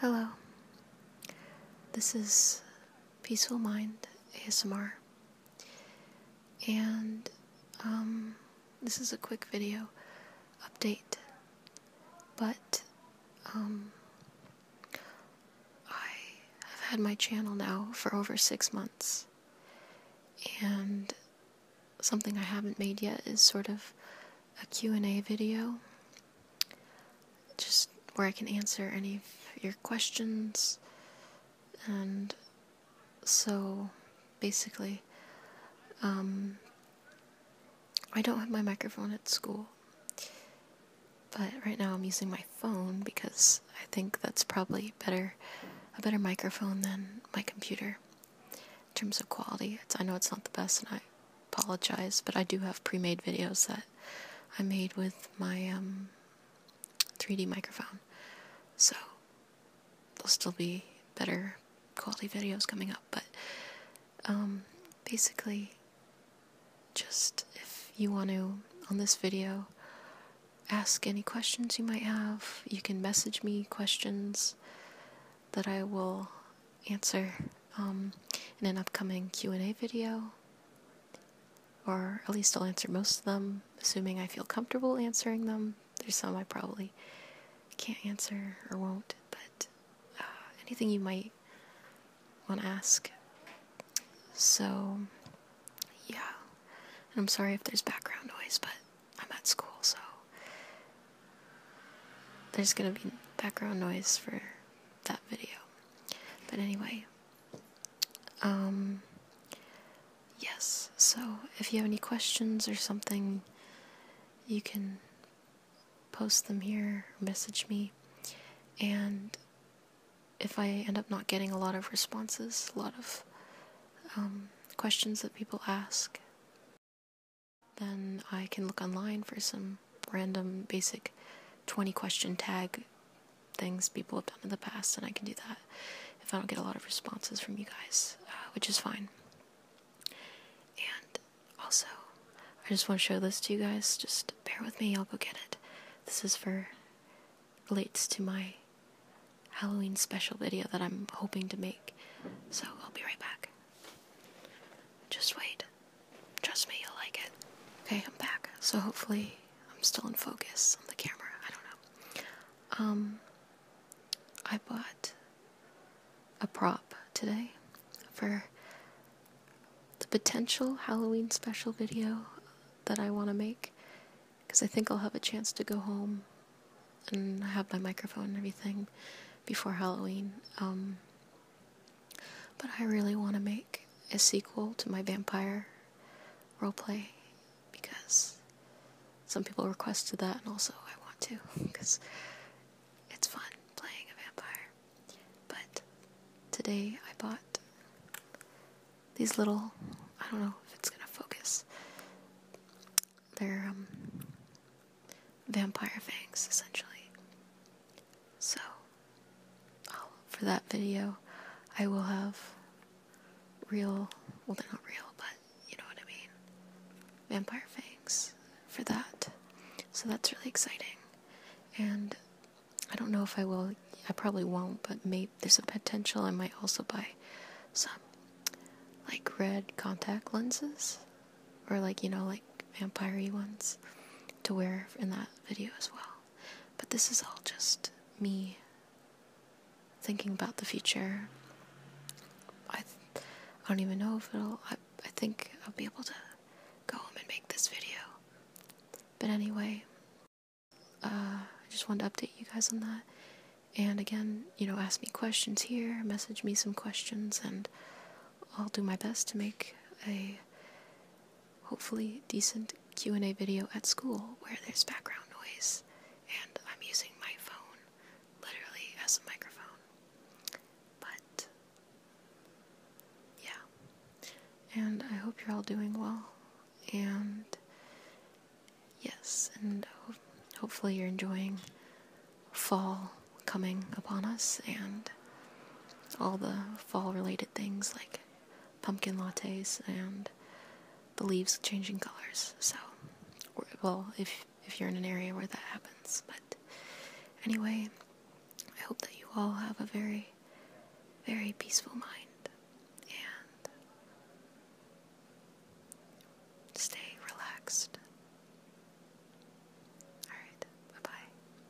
Hello. This is Peaceful Mind ASMR. And um, this is a quick video update. But um, I have had my channel now for over six months. And something I haven't made yet is sort of a Q&A video. Just where I can answer any of your questions. And so basically um, I don't have my microphone at school. But right now I'm using my phone because I think that's probably better a better microphone than my computer in terms of quality. I know it's not the best, and I apologize, but I do have pre-made videos that I made with my 3D um, microphone, so there'll still be better quality videos coming up. But um, basically, just if you want to on this video ask any questions you might have. You can message me questions that I will answer um, in an upcoming Q&A video, or at least I'll answer most of them, assuming I feel comfortable answering them. There's some I probably can't answer or won't, but uh, anything you might want to ask. So, yeah. I'm sorry if there's background noise, but I'm at school, so there's gonna be background noise for that video. But anyway, um, yes, so if you have any questions or something, you can post them here, message me, and if I end up not getting a lot of responses, a lot of um, questions that people ask, then I can look online for some random basic 20 question tag things people have done in the past, and I can do that if I don't get a lot of responses from you guys, uh, which is fine. Also, I just want to show this to you guys. Just bear with me, I'll go get it. This is for relates to my Halloween special video that I'm hoping to make. So I'll be right back. Just wait. Trust me, you'll like it. Okay, I'm back. So hopefully I'm still in focus on the camera. I don't know. Um I bought a prop today for the potential Halloween special video that I want to make because I think I'll have a chance to go home and have my microphone and everything before Halloween. Um, but I really want to make a sequel to my vampire roleplay because some people requested that, and also I want to because it's fun playing a vampire. But today I bought these little, I don't know if it's gonna focus. They're um, vampire fangs, essentially. So, for that video, I will have real, well, they're not real, but you know what I mean. Vampire fangs for that. So that's really exciting. And I don't know if I will, I probably won't, but maybe there's a potential I might also buy some like red contact lenses or like, you know, like vampire ones to wear in that video as well. But this is all just me thinking about the future. I, I don't even know if it'll. I, I think I'll be able to go home and make this video. But anyway, uh, I just wanted to update you guys on that. And again, you know, ask me questions here, message me some questions, and I'll do my best to make a hopefully decent Q&A video at school where there's background noise and I'm using my phone literally as a microphone. But yeah. And I hope you're all doing well and yes, and hopefully you're enjoying fall coming upon us and all the fall related things like pumpkin lattes and the leaves changing colors. So, well, if if you're in an area where that happens, but anyway, I hope that you all have a very, very peaceful mind and stay relaxed. All right, bye bye.